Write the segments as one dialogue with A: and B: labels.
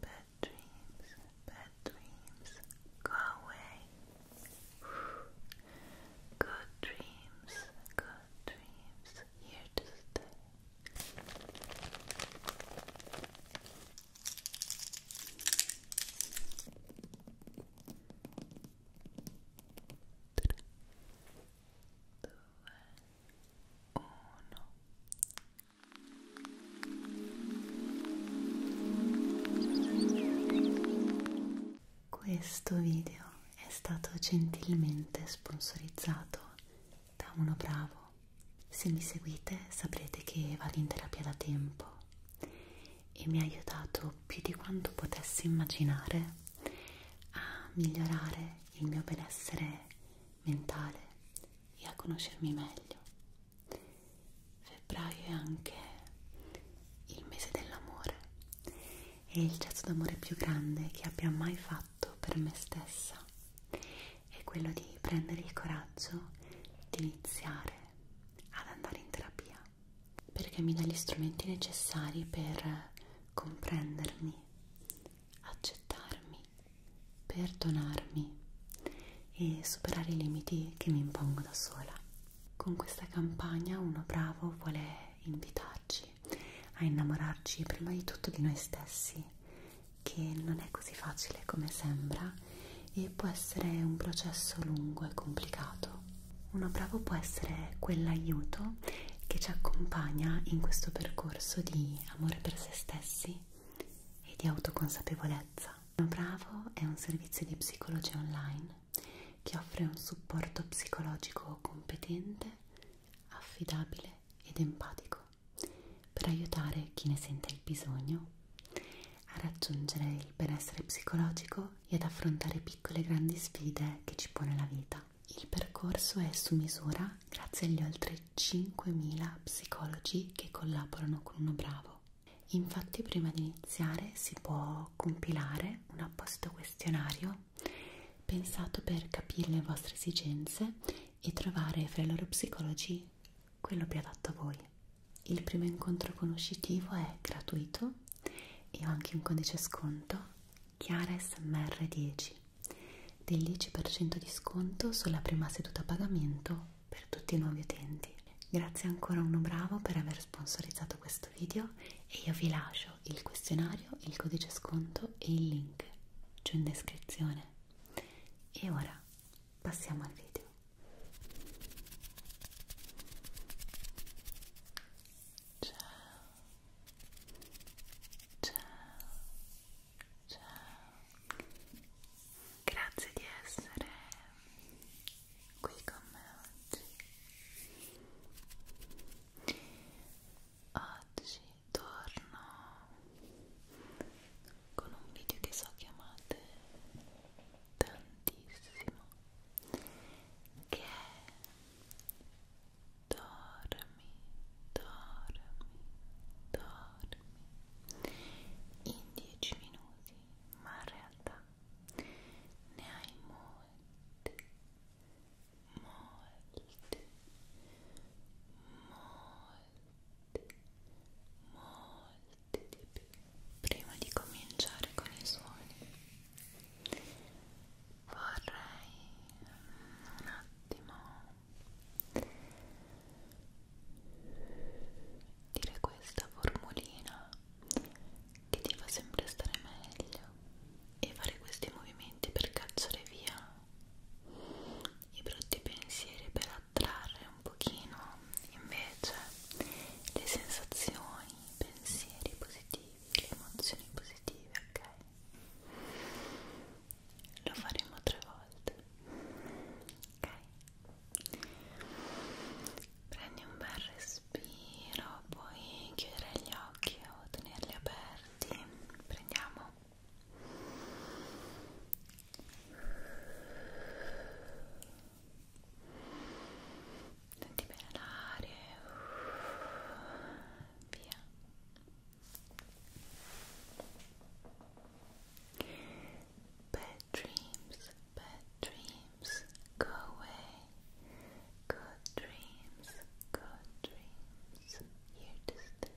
A: Bad dreams, bad dreams, go away. Good dreams, good dreams, here to stay. Due, uno. Questo video è stato gentilmente sponsorizzato da uno bravo. Se mi seguite saprete che vado in terapia da tempo e mi ha aiutato più di quanto potessi immaginare a migliorare il mio benessere mentale e a conoscermi meglio. Febbraio è anche il mese dell'amore, è il gesto d'amore più grande che abbia mai fatto per me stessa, è quello di prendere il coraggio di iniziare ad andare in terapia, perché mi dà gli strumenti necessari per comprendermi, accettarmi perdonarmi e superare i limiti che mi impongo da sola. Con questa campagna Uno Bravo vuole invitarci a innamorarci prima di tutto di noi stessi, che non è così facile come sembra e può essere un processo lungo e complicato. Uno Bravo può essere quell'aiuto che ci accompagna in questo percorso di amore per se stessi e di autoconsapevolezza. Bravo è un servizio di psicologia online che offre un supporto psicologico competente, affidabile ed empatico per aiutare chi ne sente il bisogno a raggiungere il benessere psicologico e ad affrontare piccole e grandi sfide che ci pone la vita. Il percorso è su misura grazie agli oltre 5.000 psicologi che collaborano con uno bravo. Infatti prima di iniziare si può compilare un apposito questionario pensato per capire le vostre esigenze e trovare fra i loro psicologi quello più adatto a voi. Il primo incontro conoscitivo è gratuito e ho anche un codice sconto ChiaraSMR10 del 10% di sconto sulla prima seduta a pagamento per tutti i nuovi utenti. Grazie ancora a Uno Bravo per aver sponsorizzato questo video e io vi lascio il questionario, il codice sconto e il link giù in descrizione. E ora passiamo al video. Ciao. Ciao.
B: Ciao. Grazie di essere qui con me oggi. Oggi torno con un video che so che amate tantissimo, che è Dormi, dormi, dormi dormi in 10 minuti, ma in realtà ne hai molti, molti, molti, molti di più. Prima di cominciare con i suoni, vorrei un attimo dire questa formulina che ti fa sempre stare meglio e fare questi movimenti per cacciare via i brutti pensieri per attrarre un pochino invece le sensazioni, i pensieri positivi, le emozioni positive, ok? Lo faremo tre volte ok? Prendi un bel respiro, puoi chiudere gli occhi o tenerli aperti. Prendiamo. Senti bene l'aria. Via. Bad dreams, bad dreams, go away. Good dreams, good dreams, here to stay.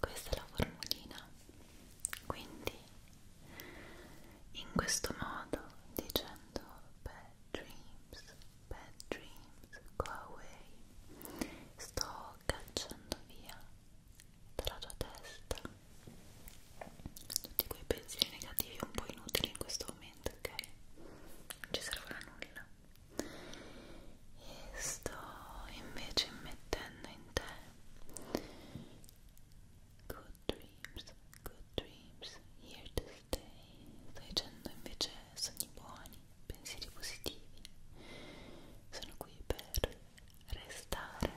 B: Questa è la formulina. Quindi, in questo modo, dicendo bad dreams, bad dreams, go away, sto sto cacciando via dalla tua testa tutti quei pensieri negativi un po' inutili in questo momento, ok? Non ci servono a nulla. E sto invece mettendo in te good dreams, good dreams, here to stay. Sto dicendo invece sogni buoni, pensieri positivi. Sono qui per restare,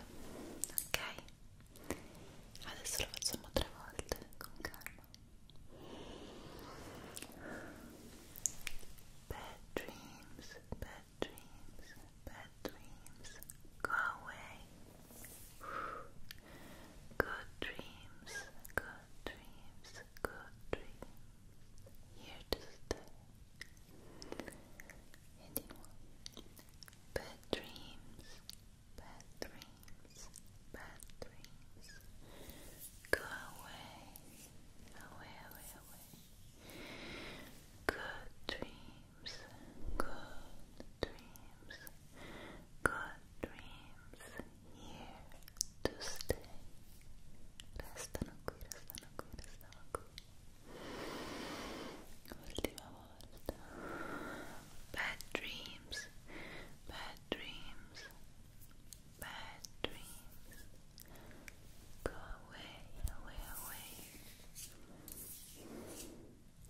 B: ok? Adesso lo facciamo tre volte con calma. Bad dreams, bad dreams, bad dreams, go away. Good dreams, good dreams, good dreams. Here to stay. anyone. Bad dreams, bad dreams, bad dreams. Go away, away, away, away. Good dreams, good dreams, good dreams. Here to stay. Restano qui, restano qui, restano qui. Bad dreams. Bad dreams. Bad dreams. Go away, away, away.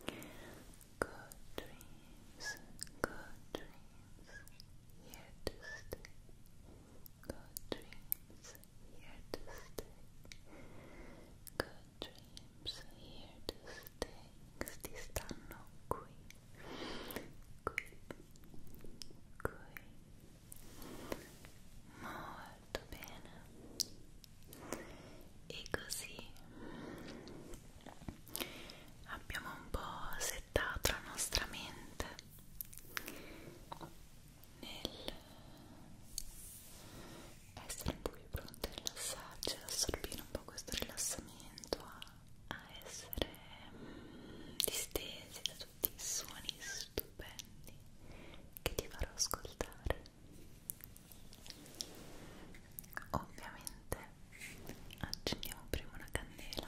B: Good dreams. Good dreams. Here to stay. Good dreams here to stay. Good dreams here to stay. Sti stanno qui. Qui. Qui. Molto bene. E così abbiamo un po' settato la nostra mente nel essere un po' più pronti a rilassarci, ad assorbire un po' questo rilassamento, a, a essere mm, distesi da tutti i suoni stupendi che ti farò ascoltare. Ovviamente accendiamo prima una candela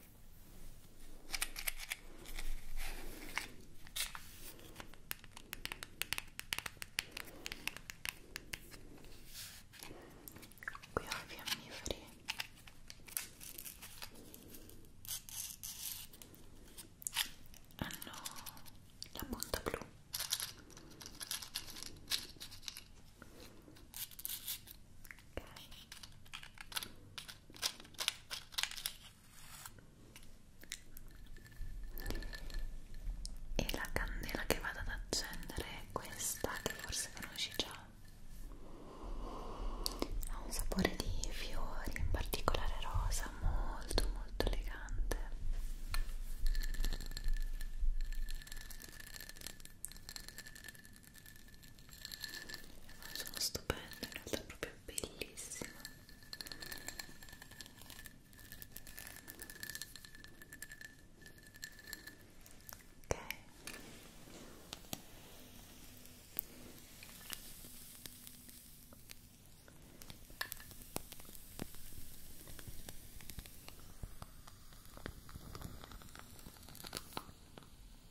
B: qui ho i fiammiferi hanno ah, la punta blu ok e la candela che vado ad accendere è questa che forse conosci già
A: ha un sapore di fiori in particolare rosa molto molto elegante sono stupendo, in realtà è proprio bellissimo ok ok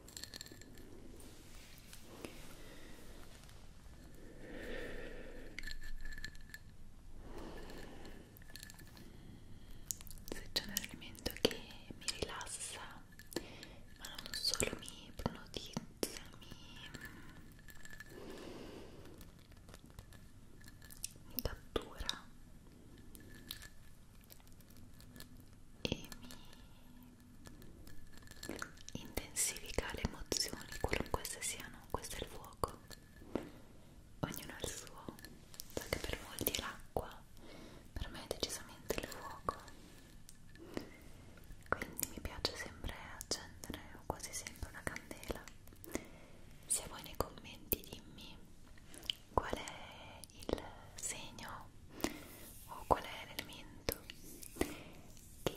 B: se c'è un elemento che mi rilassa ma non solo mi ipnotizza mi, mi cattura e mi intensifica le emozioni qualunque esse siano questo è il fuoco ognuno ha il suo so che per molti è l'acqua per me è decisamente il fuoco quindi mi piace sempre accendere o quasi sempre una candela se vuoi nei commenti dimmi qual è il segno o qual è l'elemento che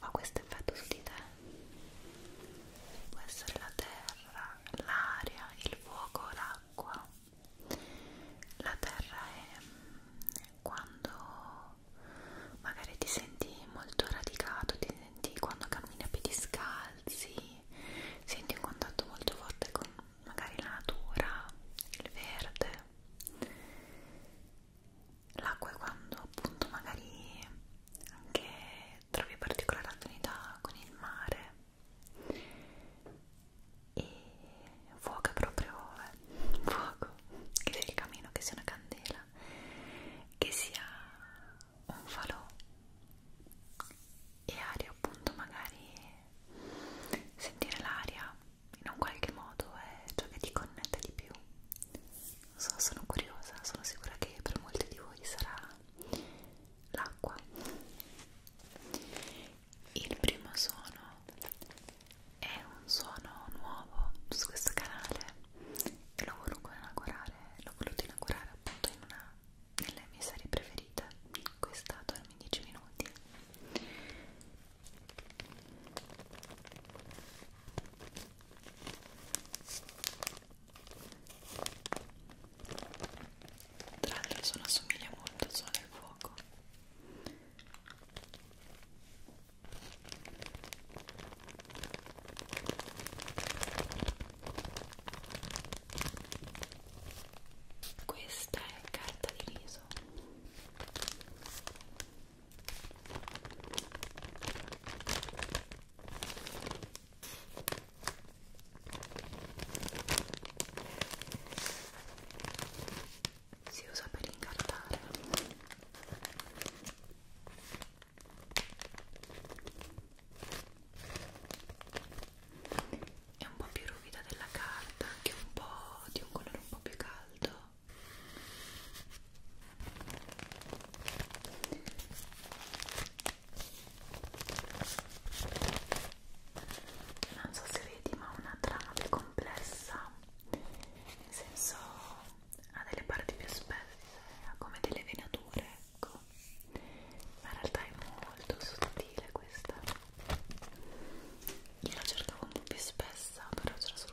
B: fa questo effetto su di te può essere la terra, l'aria, il fuoco, l'acqua la terra è quando magari ti senti molto radicato ti senti quando cammini a piedi scalzi senti un contatto molto forte con magari la natura il verde l'acqua è quando appunto magari anche trovi particolare affinità con il mare e fuoco proprio eh, fuoco che sia il camino, che sia una candela che sia un falò e aria appunto magari sentire l'aria in un qualche modo è ciò che ti connette di più. Non so, sono curiosa, sono sicura che per molti di voi sarà l'acqua. Il primo suono è un suono nuovo su questo canale e lo voluto inaugurare, l'ho voluto inaugurare appunto in una delle mie serie preferite, questa dormi 10 minuti tra l'altro sono assomiglia molto al suono del fuoco. Questa è carta di riso. Si usa per incartare. È un po' più ruvida della carta, anche un po' di un colore un po' più caldo non so se vedi ma una trama più complessa nel senso ha delle parti più spesse ha come delle venature ecco ma in realtà è molto sottile questa io la cercavo un po' più spessa però ce la sono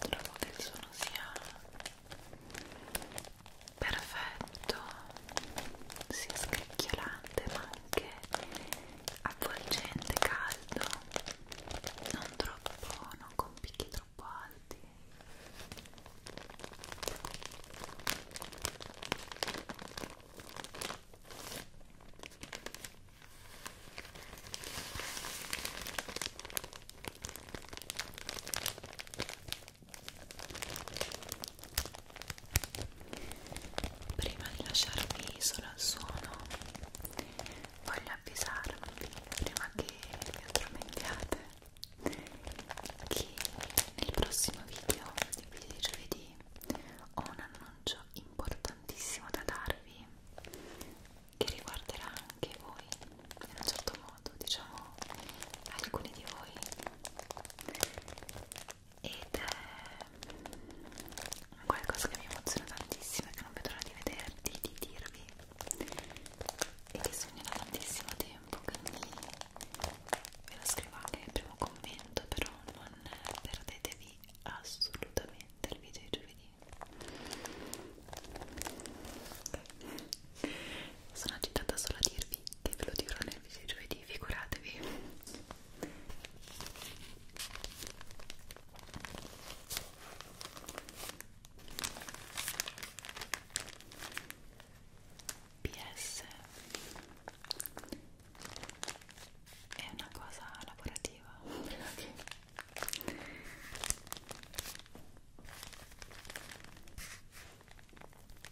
B: Trovo che il suono sia perfetto, sia scricchiolante ma anche avvolgente, caldo, non troppo, non con picchi troppo alti prima di lasciarvi solo al suono voglio avvisarvi prima che vi addormentiate che nel prossimo video il video di giovedì ho un annuncio importantissimo da darvi che riguarderà anche voi in un certo modo diciamo alcuni di voi ed è qualcosa che mi emoziona tantissimo e che non vedo l'ora di vederti, di dirvi e che sogno da tantissimo tempo quindi ve lo scrivo anche nel primo commento però non perdetevi assolutamente il video di giovedì okay. sono agitata solo a dirvi che ve lo dirò nel video di giovedì figuratevi PS è una cosa lavorativa okay.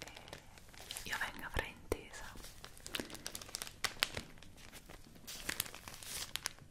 B: Eh, io vengo fraintesa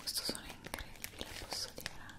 B: Questo sono incredibile, posso dire. Eh?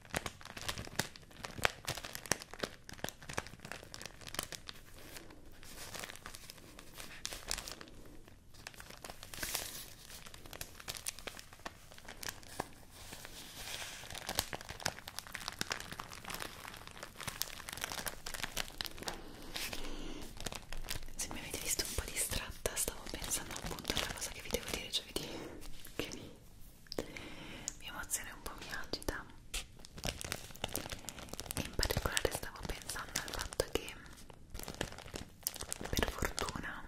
B: Se mi avete visto un po' distratta, stavo pensando appunto alla cosa che vi devo dire giovedì, che mi mi emozione un po' mi agita e in particolare stavo pensando al fatto che per fortuna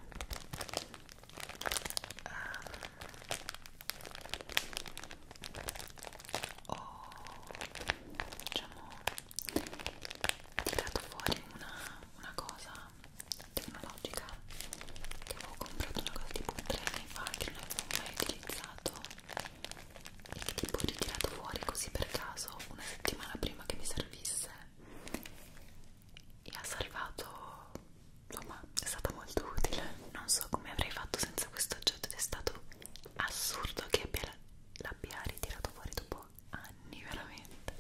B: um, ho diciamo tirato fuori una, una cosa tecnologica che avevo comprato una cosa tipo tre anni fa che non avevo mai utilizzato e che tipo ho ritirato fuori così per caso una settimana prima che mi servisse e ha salvato insomma è stata molto utile non so come avrei fatto senza questo oggetto ed è stato assurdo che l'abbia ritirato fuori dopo anni veramente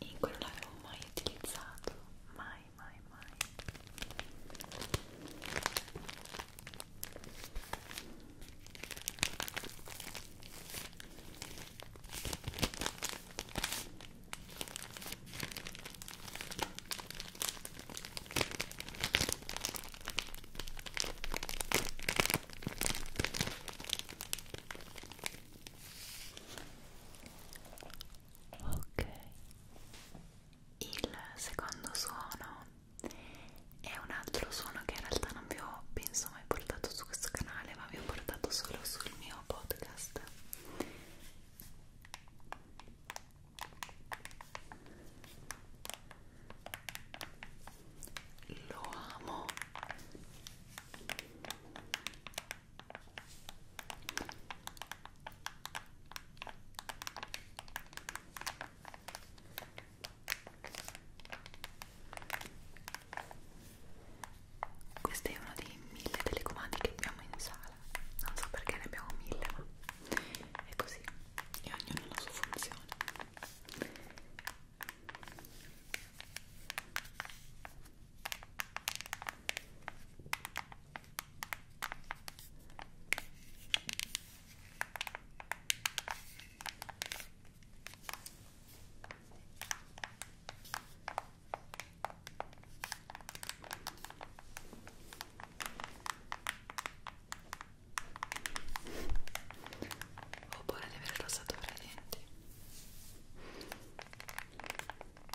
B: e quello l'avevo mai utilizzato mai mai mai Ok, il secondo suono è un altro suono che in realtà non vi ho penso mai portato su questo canale, ma vi ho portato solo sul mio podcast. Lo amo questo è uno dei mille telecomandi che abbiamo in sala. Non so perché ne abbiamo mille, ma è così. E ognuno ha la sua funzione. Ho paura di aver rossato i denti.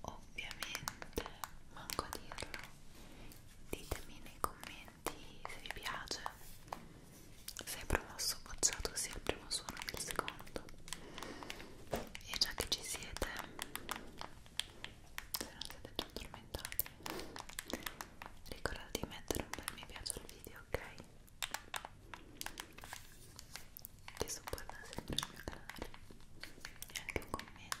B: Ovviamente, manco a dirlo, ditemi nei commenti se vi piace, se hai promosso o bocciato sia il primo suono e il secondo e già che ci siete se non siete già addormentati ricordate di mettere un bel mi piace al video ok? che supporta sempre il mio canale e anche un commento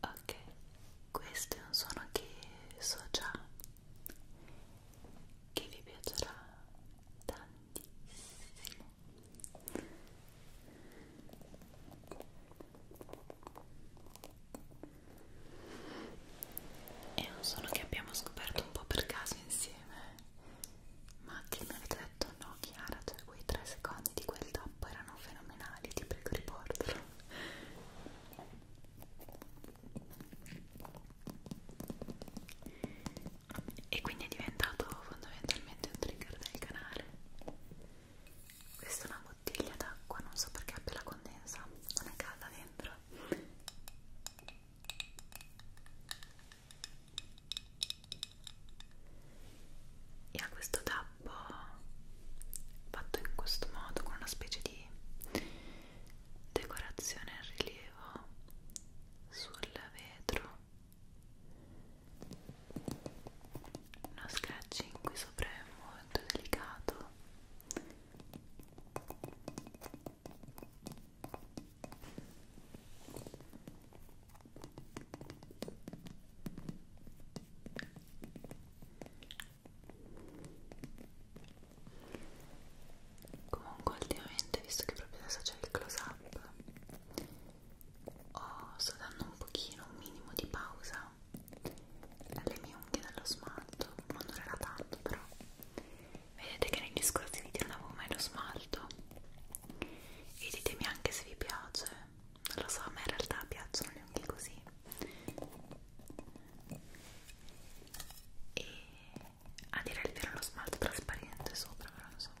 B: Ok, questo è un suono che so già che vi piacerà tantissimo è un suono che abbiamo scoperto un po' per caso insieme ma che mi avete detto no Chiara cioè quei tre secondi di quel tappo erano fenomenali ti prego riportalo e quindi è diventato fondamentalmente un trigger del canale questa è una bottiglia d'acqua non so perché abbia la condensa non è calda dentro e ha questo tappo fatto in questo modo con una specie di decorazione in rilievo sul vetro uno sketching qui sopra è molto delicato Comunque ultimamente, visto che proprio adesso c'è il close up, oh, sto dando un pochino, un minimo di pausa alle mie unghie dello smalto, non durerà tanto però. Vedete che negli scorsi video non avevo mai lo smalto e ditemi anche se vi piace, non lo so, a me in realtà piacciono le unghie così e a dire il vero lo smalto trasparente sopra però insomma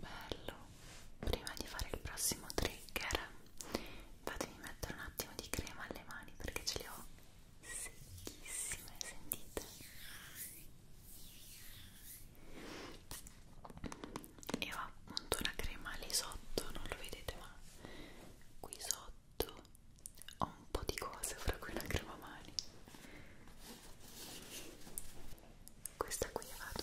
B: Bello, prima di fare il prossimo trigger, fatemi mettere un attimo di crema alle mani perché ce le ho secchissime, sentite? E ho appunto una crema lì sotto, non lo vedete ma qui sotto ho un po' di cose, fra cui una crema mani questa qui la vado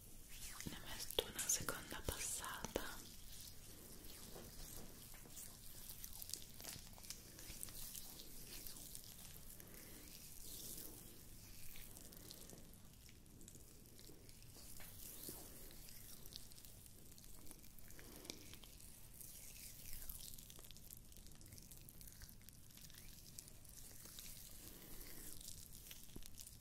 B: ne metto una seconda passata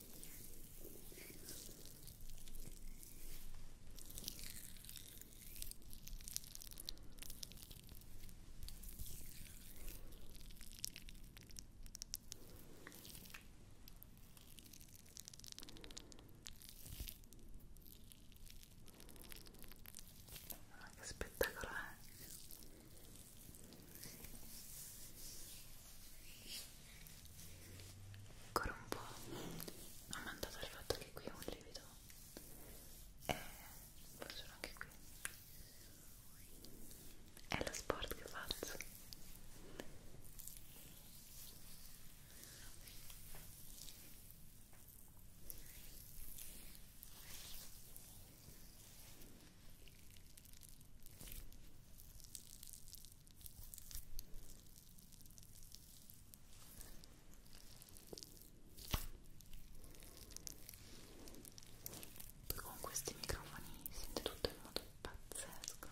B: Ma che spettacolo è? ancora un po' ammantato il fatto che qui è un livido e eh, forse anche qui è lo sport che faccio poi con questi microfoni si sente tutto in modo pazzesco.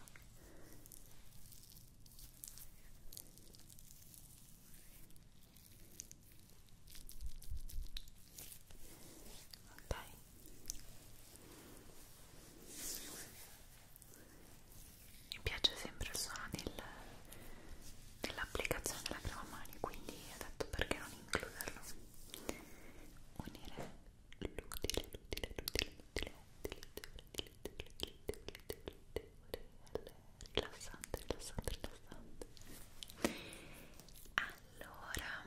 B: Ok mi piace sempre il suono del, dell'applicazione della crema mani quindi ho detto perché non includerlo unire l'utile, l'utile, l'utile, l'utile, l'utile, l'utile, l'utile, l'utile, rilassante, rilassante, rilassante allora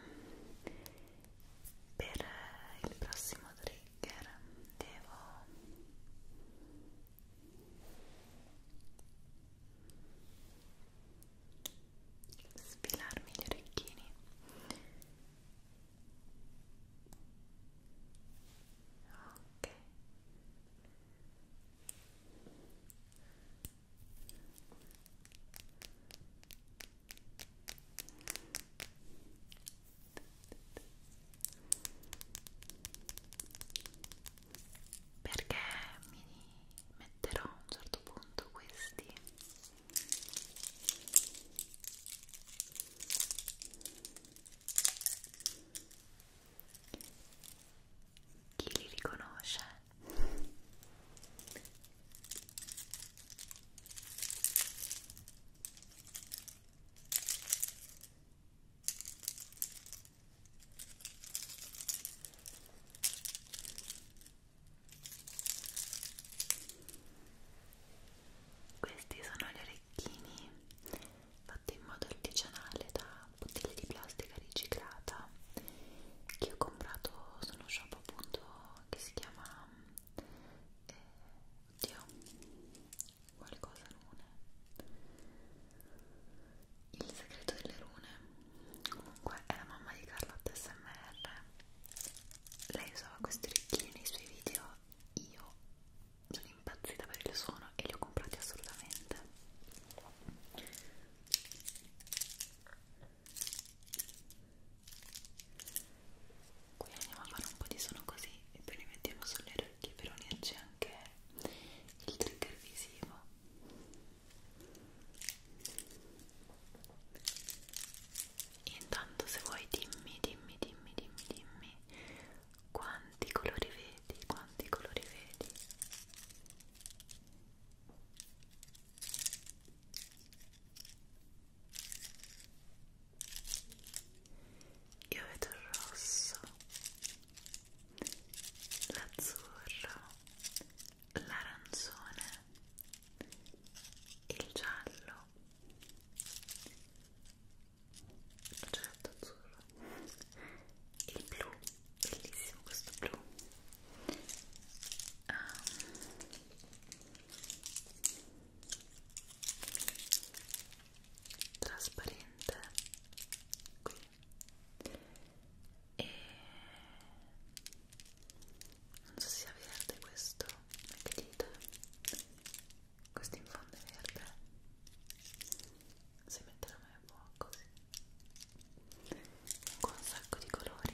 B: per il prossimo trigger trigger devo sfilarmi gli orecchini ok perché mi metterò a un certo punto questi chi li riconosce? Questi sono gli orecchini fatti in modo artigianale da bottiglie di plastica riciclata che ho comprato su uno shop appunto che si chiama eh, oddio qualcosa rune il segreto delle rune comunque è la mamma di Carlotta SMR lei usava questi orecchini nei suoi video io sono impazzita per il suono e li ho comprati assolutamente qui andiamo a fare un po' di suono così e poi li mettiamo sulle orecchie per unirci anche il trigger visivo intanto se vuoi dimmi dimmi dimmi dimmi dimmi quanti colori vedi quanti colori vedi io vedo il rosso, l'azzurro, l'arancione, il giallo, l'ho già detto azzurro, il blu, bellissimo questo blu. Um, trasparente qui e non so se sia verde questo ma che dite? questo in fondo è verde si mette la mano a così con un sacco di colori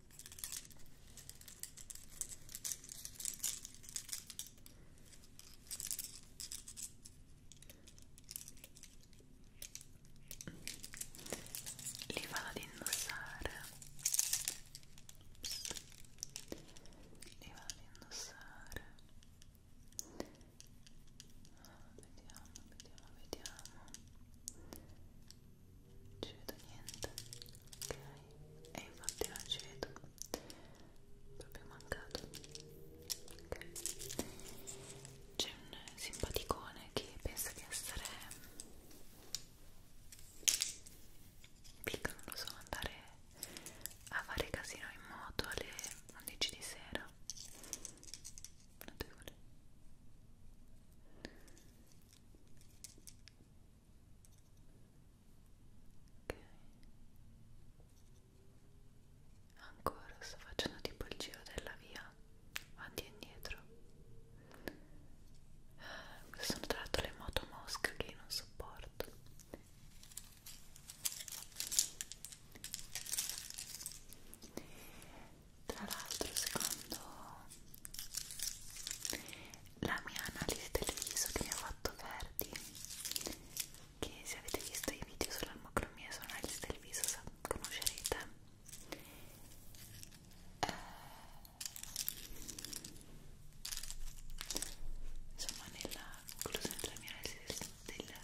B: li vado ad indossare Psst. li vado ad indossare ah, vediamo vediamo vediamo ci vedo niente ok e infatti non ci vedo proprio mancato ok c'è un simpaticone che pensa di essere piccolo non lo so andare a fare casino in moto alle 11 di sera notevole ok ancora sto facendo tipo il giro della via avanti e indietro queste sono tra l'altro le moto mosche che io non sopporto tra l'altro secondo la mia analisi del viso che mi ha fatto Verdi che se avete visto i video sull'armocromia e sull'analisi del viso conoscerete eh, insomma nella conclusione della mia analisi del,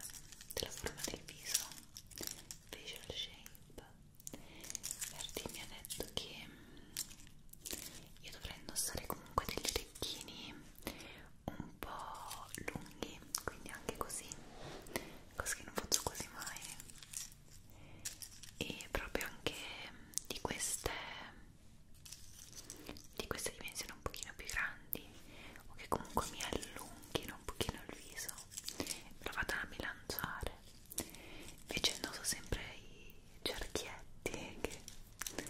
B: della forma del viso facial shape Verdi mi ha detto che mm, io dovrei indossare comunque degli orecchini un po' lunghi, quindi anche così, cosa che non faccio quasi mai. E proprio anche mm, di queste di queste dimensioni un pochino più grandi o che comunque mi allunghino un pochino il viso. Me lo vado a bilanciare invece indosso sempre i cerchietti che non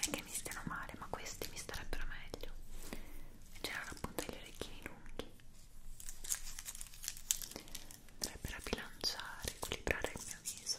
B: è che mi stiano male ma questi mi starebbero meglio in generale appunto gli orecchini lunghi andrebbero a bilanciare, equilibrare il mio viso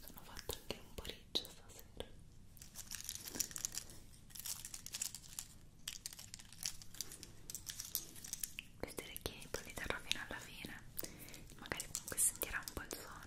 B: Sono fatto anche un po' riccio stasera questi orecchini poi li terrò fino alla fine magari comunque sentirà un po' il suono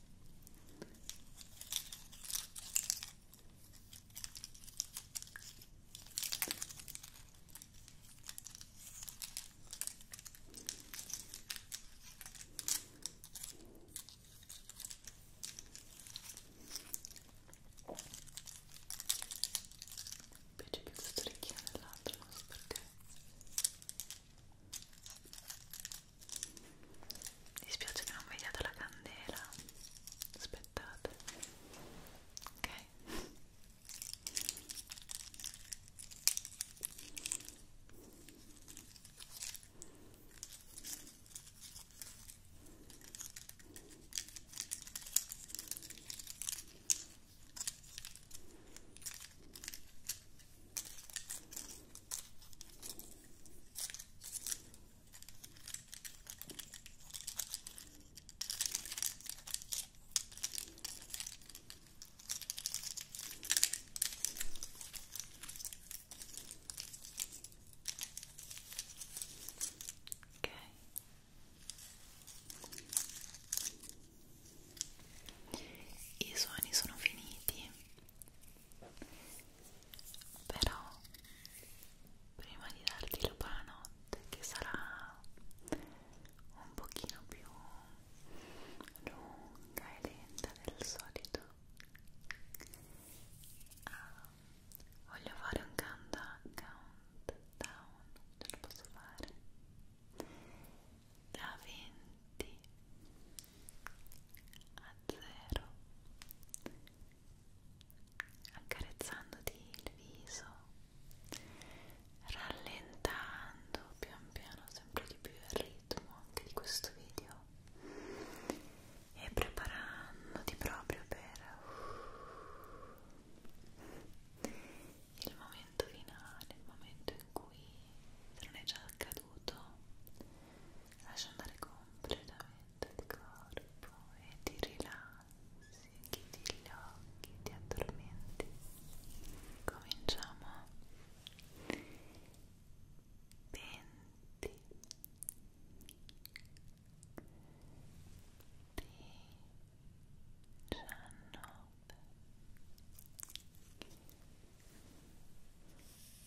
B: Invece più questo orecchino dell'altro, non so perché. Mi dispiace che non vediate la candela. Aspettate. Ok. Ok. I suoni sono finiti però prima di darti la buonanotte che sarà un pochino più lunga e lenta del solito ah, voglio fare un countdown ce lo posso fare da 20 a zero accarezzandoti il viso rallentando pian piano sempre di più il ritmo anche di questo video e preparandoti proprio per uh, il momento finale il momento in cui se non è già accaduto lascia andare completamente il corpo e ti rilassi, chiudi gli occhi, ti addormenti. Cominciamo. 20 19 18 17 16 15 14 13 12 11 10 9 8 7 6 5 4 3 2 1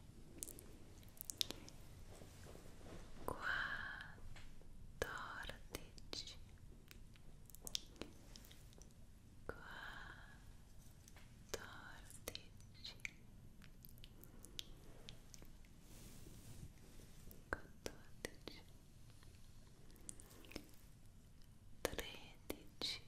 B: Guardate. Guardate. Quattordici tredici quattordici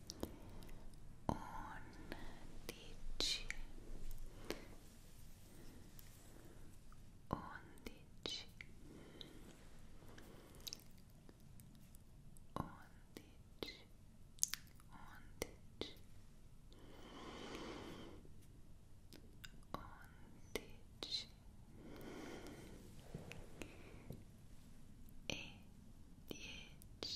B: undici undici undici undici undici e dieci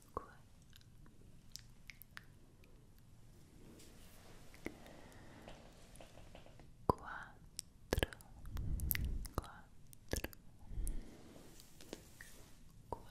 B: língua. Quatro, quatro, quatro, quatro,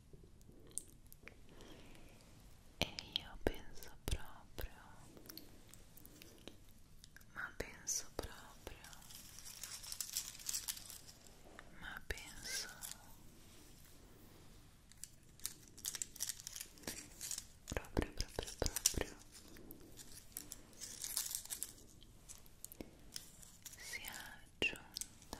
B: E io penso proprio, ma penso proprio, ma penso proprio, proprio, proprio sia giunta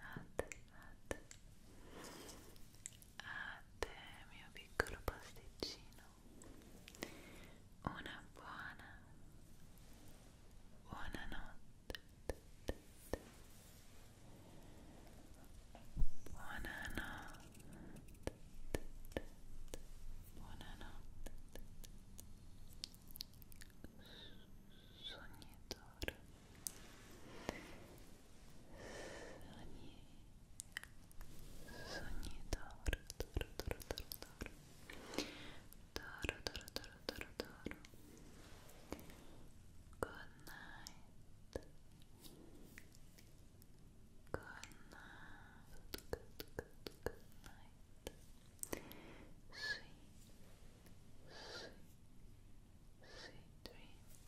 B: a te, a te, a te mio piccolo pasticcino, una buona, buona notte, buona notte, buona notte, sognatore. Sogni Sogni d'oro, d'oro, d'oro, d'oro, d'oro D'oro, d'oro, d'oro, d'oro, d'oro Good night Good night Good, night Sweet Sweet, sweet dreams,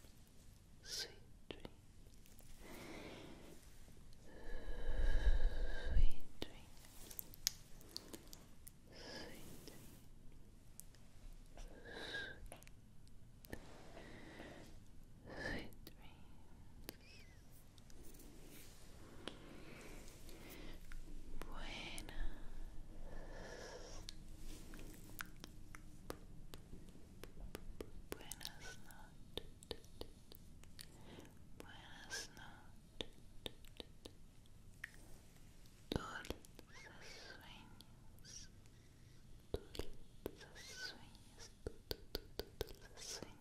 B: sweet dreams, sweet dreams, sweet dreams, sweet dreams. Buenas noches. Buenas noches. Dulces sueños. Dulces sueños. Dulces sueños.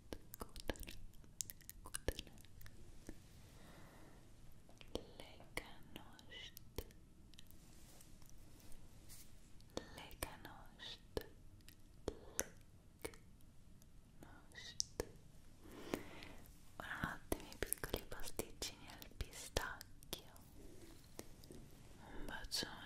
B: Lekkanost, lekkanost, lekkanost. Ottimi piccoli pasticcini al pistacchio. Un bacione.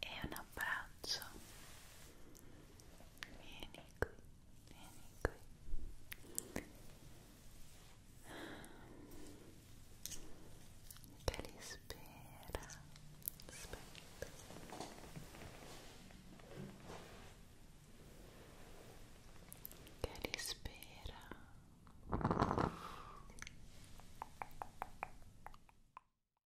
B: e un abbraccio vieni qui vieni qui che li spera aspetta che li spera